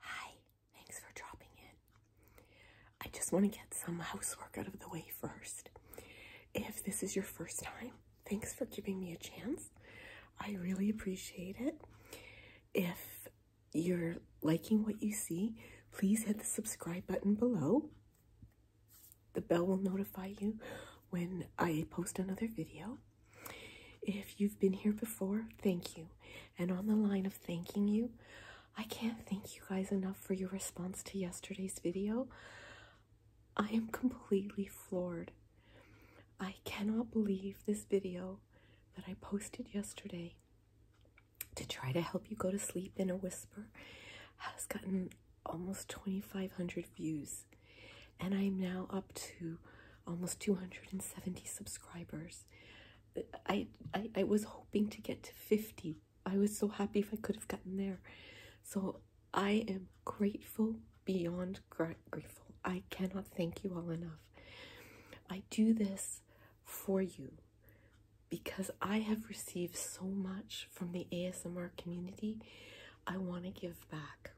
Hi, thanks for dropping in. I just want to get some housework out of the way first. If this is your first time, thanks for giving me a chance. I really appreciate it. If you're liking what you see, please hit the subscribe button below. The bell will notify you when I post another video. If you've been here before, thank you. And on the line of thanking you, I can't thank you guys enough for your response to yesterday's video. I am completely floored. I cannot believe this video that I posted yesterday to try to help you go to sleep in a whisper has gotten almost 2,500 views. And I am now up to almost 270 subscribers. I, I, I was hoping to get to 50. I was so happy if I could have gotten there. So I am grateful beyond grateful. I cannot thank you all enough. I do this for you because I have received so much from the ASMR community. I want to give back.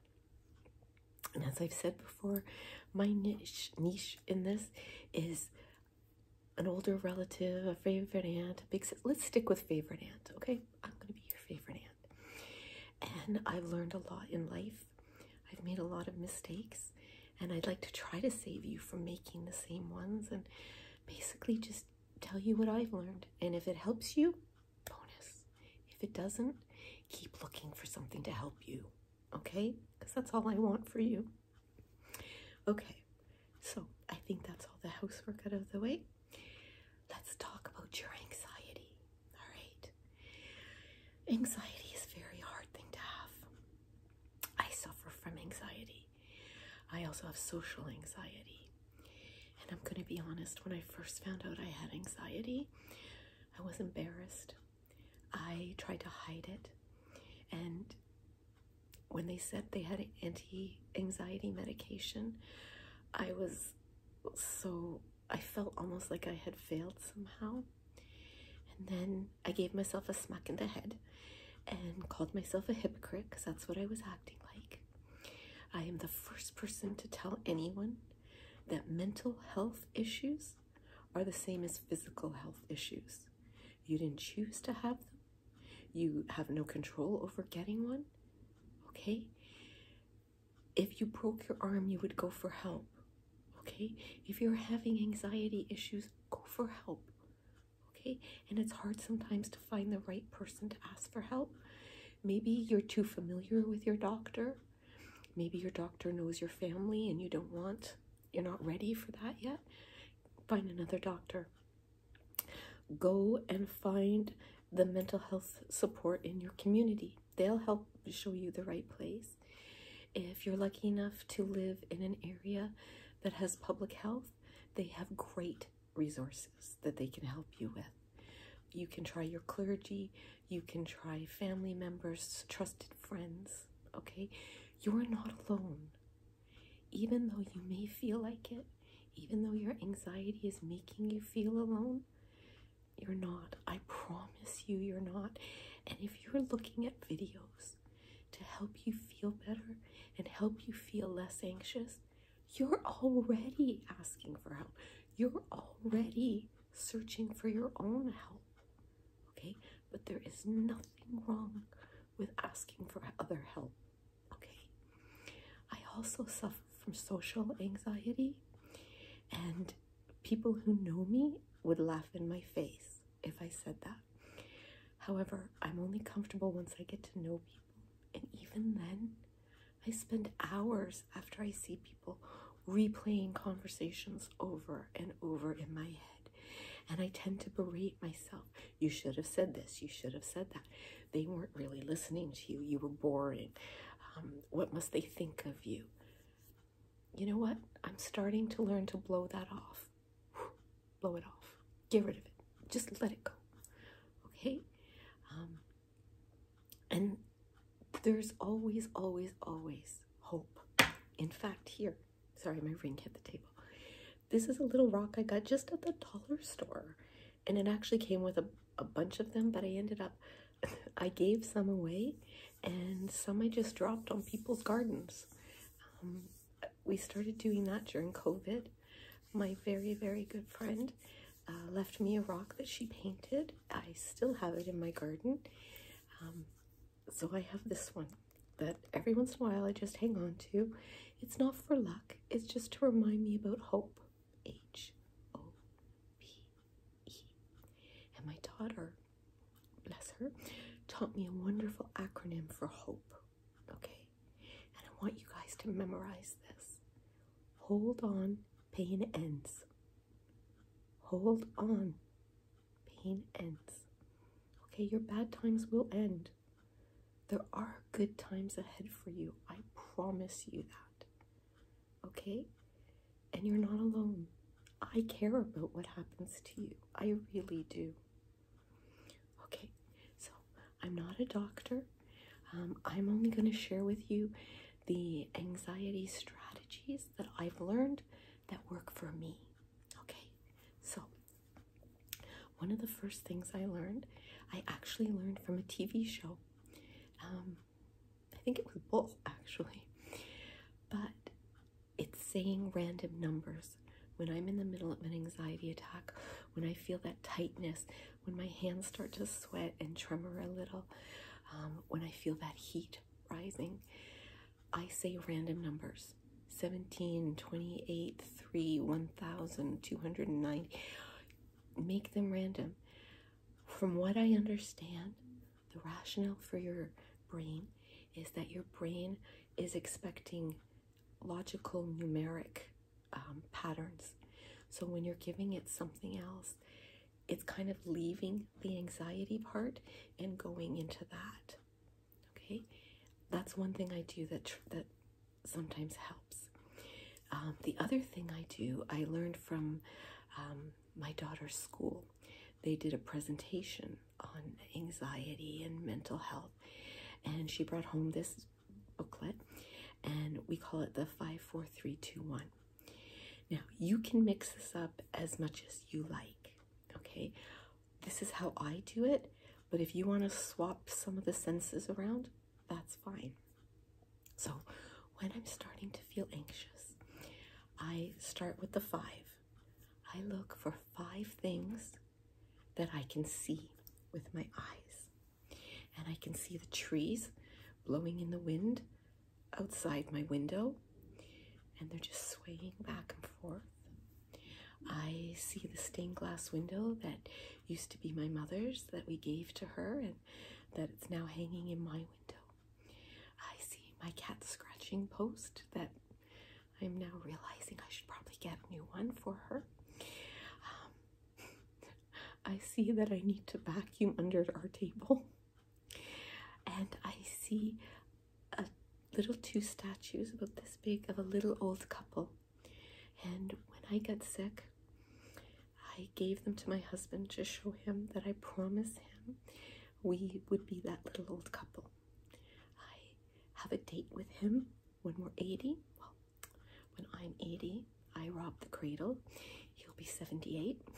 And as I've said before, my niche niche in this is an older relative, a favorite aunt, Let's stick with favorite aunt, okay? I'm gonna be your favorite aunt. And I've learned a lot in life. I've made a lot of mistakes, and I'd like to try to save you from making the same ones and basically just tell you what I've learned. And if it helps you, bonus. If it doesn't, keep looking for something to help you okay? Because that's all I want for you. Okay, so I think that's all the housework out of the way. Let's talk about your anxiety, all right? Anxiety is a very hard thing to have. I suffer from anxiety. I also have social anxiety. And I'm going to be honest, when I first found out I had anxiety, I was embarrassed. I tried to hide it. And when they said they had anti anxiety medication, I was so, I felt almost like I had failed somehow. And then I gave myself a smack in the head and called myself a hypocrite because that's what I was acting like. I am the first person to tell anyone that mental health issues are the same as physical health issues. You didn't choose to have them, you have no control over getting one. Okay? If you broke your arm, you would go for help. Okay? If you're having anxiety issues, go for help. Okay? And it's hard sometimes to find the right person to ask for help. Maybe you're too familiar with your doctor Maybe your doctor knows your family and you don't want, you're not ready for that yet. Find another doctor. Go and find the mental health support in your community. They'll help show you the right place. If you're lucky enough to live in an area that has public health, they have great resources that they can help you with. You can try your clergy, you can try family members, trusted friends, okay? You're not alone. Even though you may feel like it, even though your anxiety is making you feel alone, you're not. I promise you, you're not. And if you're looking at videos to help you feel better and help you feel less anxious, you're already asking for help. You're already searching for your own help. Okay? But there is nothing wrong with asking for other help. Okay? I also suffer from social anxiety, and people who know me would laugh in my face if I said that. However, I'm only comfortable once I get to know people, and even then, I spend hours after I see people replaying conversations over and over in my head. And I tend to berate myself. You should have said this. You should have said that. They weren't really listening to you. You were boring. Um, what must they think of you? You know what? I'm starting to learn to blow that off. blow it off. Get rid of it. Just let it go. Okay? Um, and there's always, always, always hope. In fact, here, sorry, my ring hit the table. This is a little rock I got just at the dollar store. And it actually came with a, a bunch of them, but I ended up, I gave some away and some I just dropped on people's gardens. Um, we started doing that during COVID. My very, very good friend uh, left me a rock that she painted I still have it in my garden. Um, so I have this one that every once in a while I just hang on to. It's not for luck, it's just to remind me about hope. H O P E. And my daughter, bless her, taught me a wonderful acronym for hope. Okay? And I want you guys to memorize this. Hold on, pain ends. Hold on, pain ends. Okay, your bad times will end. There are good times ahead for you. I promise you that. Okay? And you're not alone. I care about what happens to you. I really do. Okay, so I'm not a doctor. Um, I'm only going to share with you the anxiety strategies that I've learned that work for me. Okay, so one of the first things I learned, I actually learned from a TV show. Um, I think it was both actually, but it's saying random numbers. When I'm in the middle of an anxiety attack, when I feel that tightness, when my hands start to sweat and tremor a little, um, when I feel that heat, rising. I say random numbers 17, 28, 3, 1,290. Make them random. From what I understand, the rationale for your brain is that your brain is expecting logical numeric um, patterns. So when you're giving it something else, it's kind of leaving the anxiety part and going into that. Okay, that's one thing I do that that sometimes helps. Um, the other thing I do, I learned from um, my daughter's school. They did a presentation on anxiety and mental health, and she brought home this booklet, and we call it the five, four, three, two, one. Now, you can mix this up as much as you like, okay? This is how I do it, but if you want to swap some of the senses around, that's fine. So, when I'm starting to feel anxious, I start with the five. I look for five things that I can see with my eyes. And I can see the trees blowing in the wind outside my window and they're just swaying back and forth. I see the stained glass window that used to be my mother's that we gave to her and that it's now hanging in my window. I see my cat scratching post that I'm now realizing I should probably get a new one for her. Um, I see that I need to vacuum under our table and I see a little two statues about this big of a little old couple. And when I got sick, I gave them to my husband to show him that I promised him we would be that little old couple. I have a date with him when we're 80. Well, when I'm 80, I rob the cradle. He'll be 78.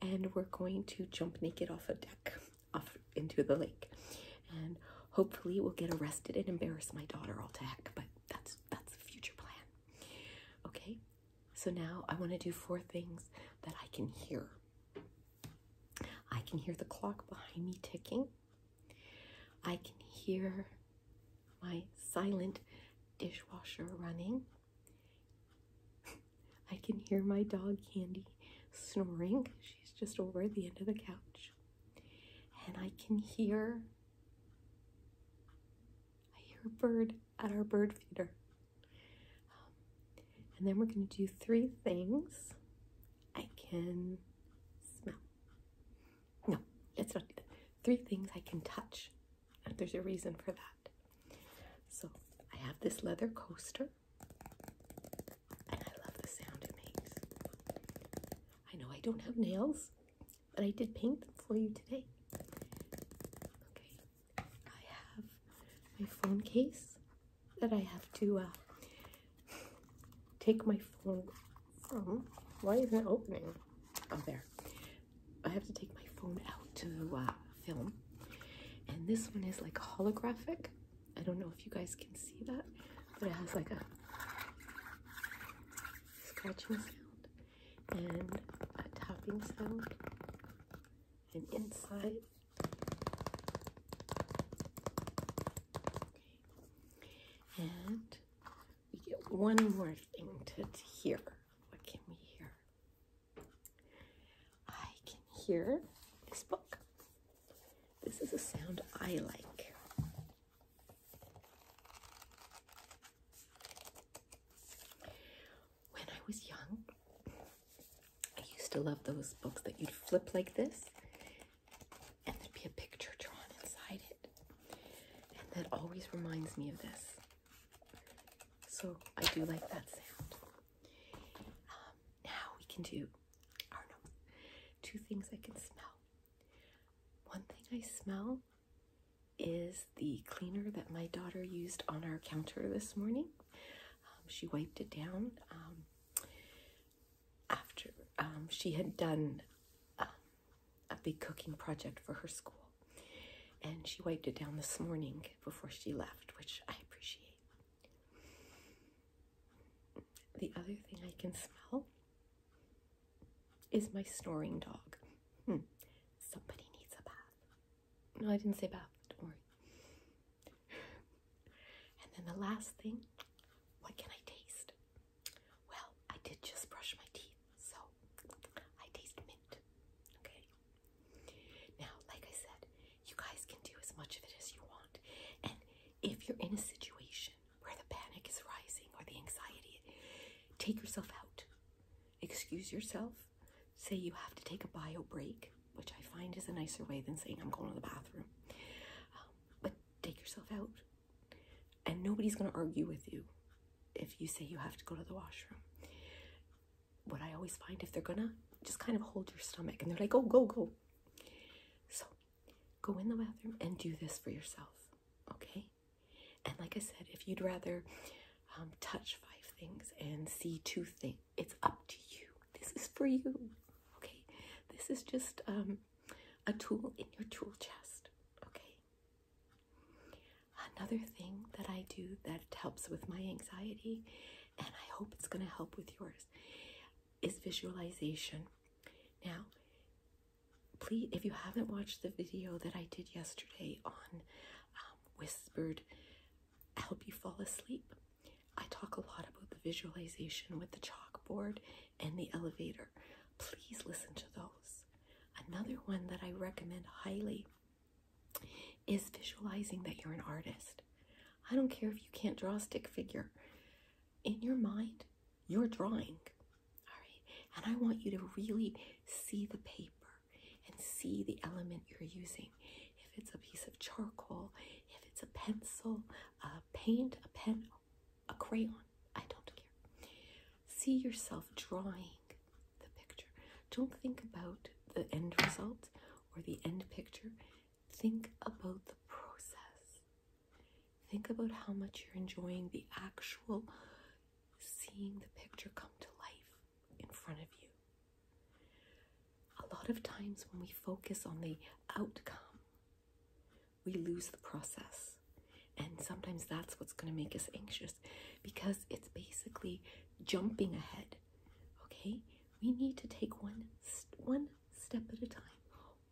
and we're going to jump naked off a deck off into the lake and hopefully we'll get arrested and embarrass my daughter all to heck but that's that's the future plan okay so now i want to do four things that i can hear i can hear the clock behind me ticking i can hear my silent dishwasher running I can hear my dog Candy snoring. She's just over at the end of the couch. And I can hear I hear a bird at our bird feeder. Um, and then we're going to do three things. I can smell. No, let not Three things I can touch. There's a reason for that. So I have this leather coaster, and I love the sound it makes. I know I don't have nails, but I did paint them for you today. Okay, I have my phone case that I have to uh, take my phone from. Why isn't it opening? up oh, there. I have to take my phone out to uh, film. And this one is like holographic. I don't know if you guys can see that, but it has like a scratching sound and a tapping sound. And inside, and we get one more thing to hear. What can we hear? I can hear this book. This is a sound I like. When I was young, I used to love those books that you'd flip like this and there'd be a picture drawn inside it. And that always reminds me of this. So I do like that sound. Um, now we can do, two things I can smell. One thing I smell is the cleaner that my daughter used on our counter this morning. Um, she wiped it down um, after she had done a big cooking project for her school. And she wiped it down this morning before she left, which I appreciate. The other thing I can smell is my snoring dog. Hmm. Somebody needs a bath. No, I didn't say bath, don't worry. And then the last thing, what can I taste? Well, I did just brush my teeth, so I taste mint. Okay. Now, like I said, you guys can do as much of it as you want. And if you're in a situation where the panic is rising or the anxiety, take yourself out. Excuse yourself. Say you have to take a bio break, which I find is a nicer way than saying I'm going to the bathroom. Um, but take yourself out. And nobody's going to argue with you if you say you have to go to the washroom what I always find if they're gonna just kind of hold your stomach and they're like, oh, go, go. So go in the bathroom and do this for yourself, okay? And like I said, if you'd rather um, touch five things and see two things, it's up to you. This is for you, okay? This is just um, a tool in your tool chest, okay? Another thing that I do that helps with my anxiety and I hope it's going to help with yours, is visualization. Now, please, if you haven't watched the video that I did yesterday on um, whispered help you fall asleep, I talk a lot about the visualization with the chalkboard and the elevator. Please listen to those. Another one that I recommend highly is visualizing that you're an artist. I don't care if you can't draw a stick figure. In your mind, you're drawing. All right. And I want you to really see the paper and see the element you're using. If it's a piece of charcoal, if it's a pencil, a paint, a pen, a crayon, I don't care. See yourself drawing the picture. Don't think about the end result or the end picture, think about the process. Think about how much you're enjoying the actual seeing the picture come to life in front of you. A lot of times when we focus on the outcome, we lose the process. And sometimes that's what's going to make us anxious because it's basically jumping ahead Okay, we need to take one one step at a time,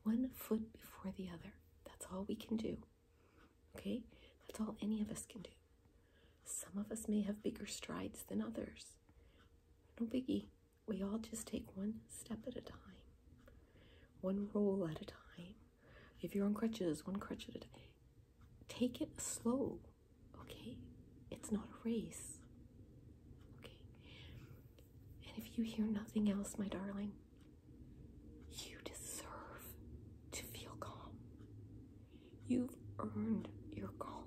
one foot before the other. That's all we can do. Okay, that's all any of us can do. Some of us may have bigger strides than others. No biggie. We all just take one step at a time, one roll at a time. If you're on crutches, one crutch at a time take it slow, okay? It's not a race, okay? And if you hear nothing else, my darling, you deserve to feel calm. You've earned your calmness.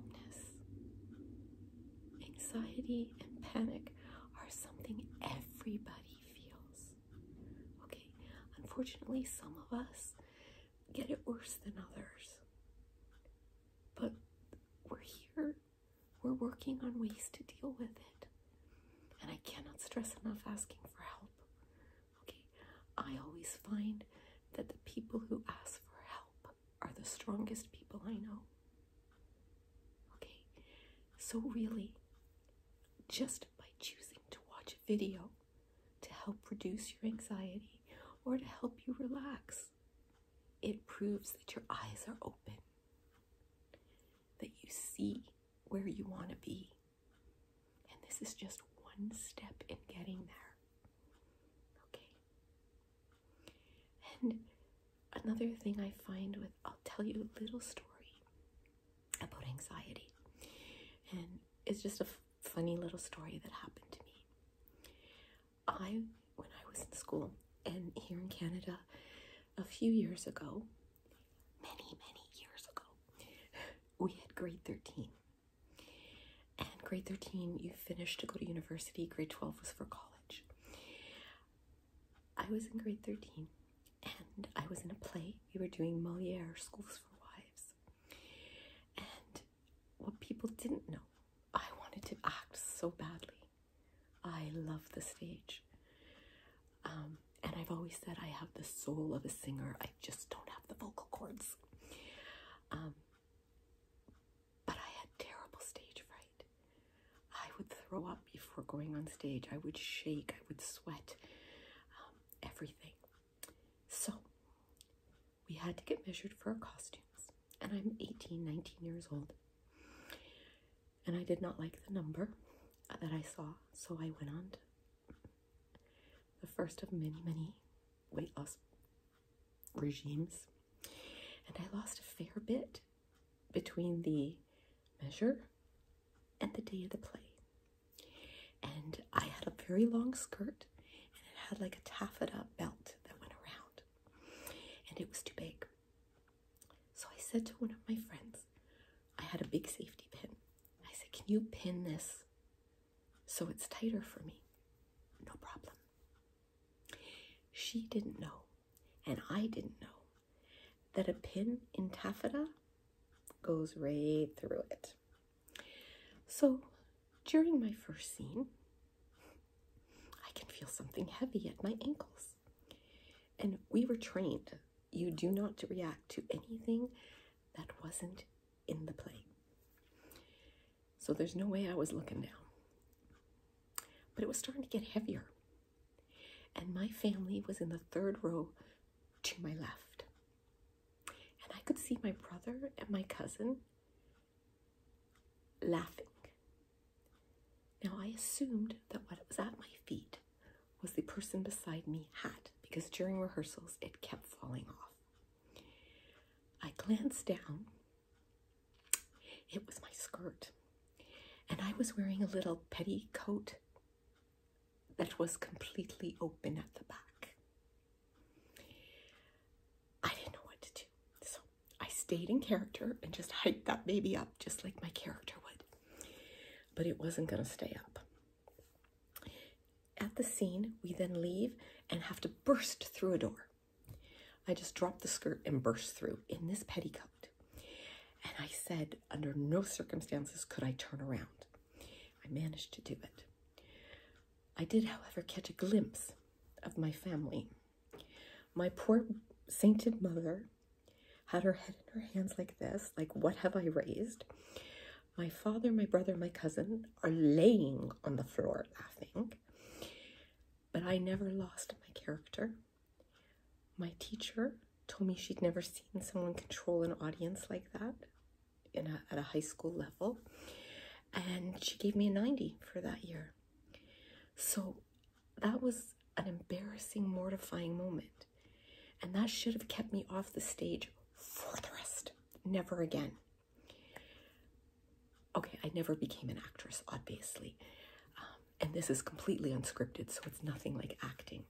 Anxiety and panic are something everybody feels. Okay, unfortunately, some of us get it worse than others. But we're here. We're working on ways to deal with it. And I cannot stress enough asking for help. Okay, I always find that the people who ask for help are the strongest people I know. Okay, so really, just by choosing to watch a video to help reduce your anxiety or to help you relax. It proves that your eyes are open, that you see where you want to be. And this is just one step in getting there. Okay. And another thing I find with, I'll tell you a little story about anxiety. And it's just a funny little story that happened to me. I, when I was in school and here in Canada a few years ago, many, many years ago, we had grade 13. And grade 13, you finished to go to university, grade 12 was for college. I was in grade 13 and I was in a play. We were doing Moliere, Schools for Wives. And what people didn't know. I wanted to act so badly. I love the stage. Um, and I've always said I have the soul of a singer, I just don't have the vocal cords. Um, but I had terrible stage fright. I would throw up before going on stage, I would shake, I would sweat, um, everything. So we had to get measured for our costumes, and I'm 18, 19 years old. And I did not like the number that I saw, so I went on the first of many, many weight loss regimes. And I lost a fair bit between the measure and the day of the play. And I had a very long skirt and it had like a taffeta belt that went around, and it was too big. So I said to one of my friends, I had a big safety pin. I said, Can you pin this so it's tighter for me? No problem. She didn't know, and I didn't know, that a pin in taffeta goes right through it. So during my first scene, I can feel something heavy at my ankles. And we were trained, you do not react to anything that wasn't in the play. So there's no way I was looking now, But it was starting to get heavier. And my family was in the third row to my left. And I could see my brother and my cousin laughing. Now, I assumed that what was at my feet was the person beside me hat because during rehearsals it kept falling off. I glanced down. It was my skirt. And I was wearing a little petticoat that was completely open at the back. I didn't know what to do. So I stayed in character and just hyped that baby up just like my character would. But it wasn't going to stay up. At the scene, we then leave and have to burst through a door. I just dropped the skirt and burst through in this petticoat. And I said, under no circumstances could I turn around. I managed to do it. I did, however, catch a glimpse of my family. My poor sainted mother had her head in her hands like this, like, what have I raised? My father, my brother, my cousin are laying on the floor laughing. But I never lost my character. My teacher told me she'd never seen someone control an audience like that in at a high school level and she gave me a 90 for that year. So that was an embarrassing, mortifying moment. And that should have kept me off the stage for the rest. Never again. Okay, I never became an actress, obviously. Um, and this is completely unscripted, so it's nothing like acting.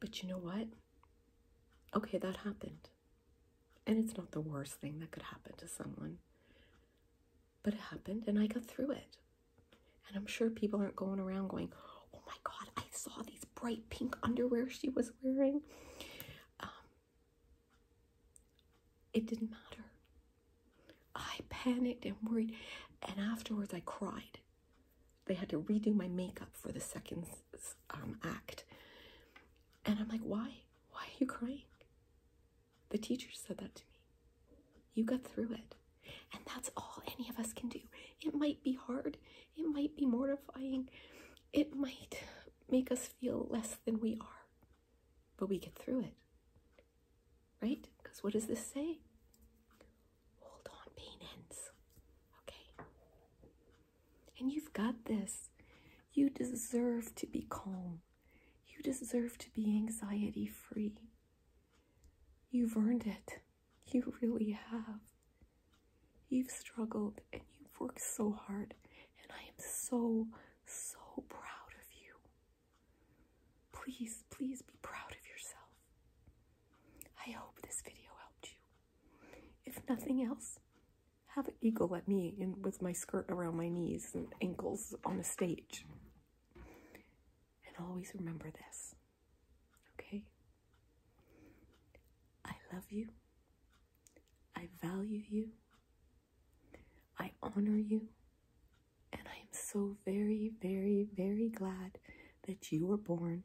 But you know what? Okay, that happened. And it's not the worst thing that could happen to someone. But it happened and I got through it. And I'm sure people aren't going around going, oh my God, I saw these bright pink underwear she was wearing. Um, it didn't matter. I panicked and worried. And afterwards, I cried. They had to redo my makeup for the second um, act. And I'm like, why? Why are you crying? The teacher said that to me. You got through it. And that's all any of us can do. It might be hard, it might be mortifying, it might make us feel less than we are, but we get through it. Right? Because what does this say? Hold on, pain ends. Okay? And you've got this. You deserve to be calm. You deserve to be anxiety free. You've earned it. You really have. You've struggled and you've worked so hard. And I am so, so proud of you. Please, please be proud of yourself. I hope this video helped you. If nothing else, have an eagle at me and with my skirt around my knees and ankles on a stage. And always remember this. Okay? I love you. I value you. I honor you. And I am so very, very, very glad that you were born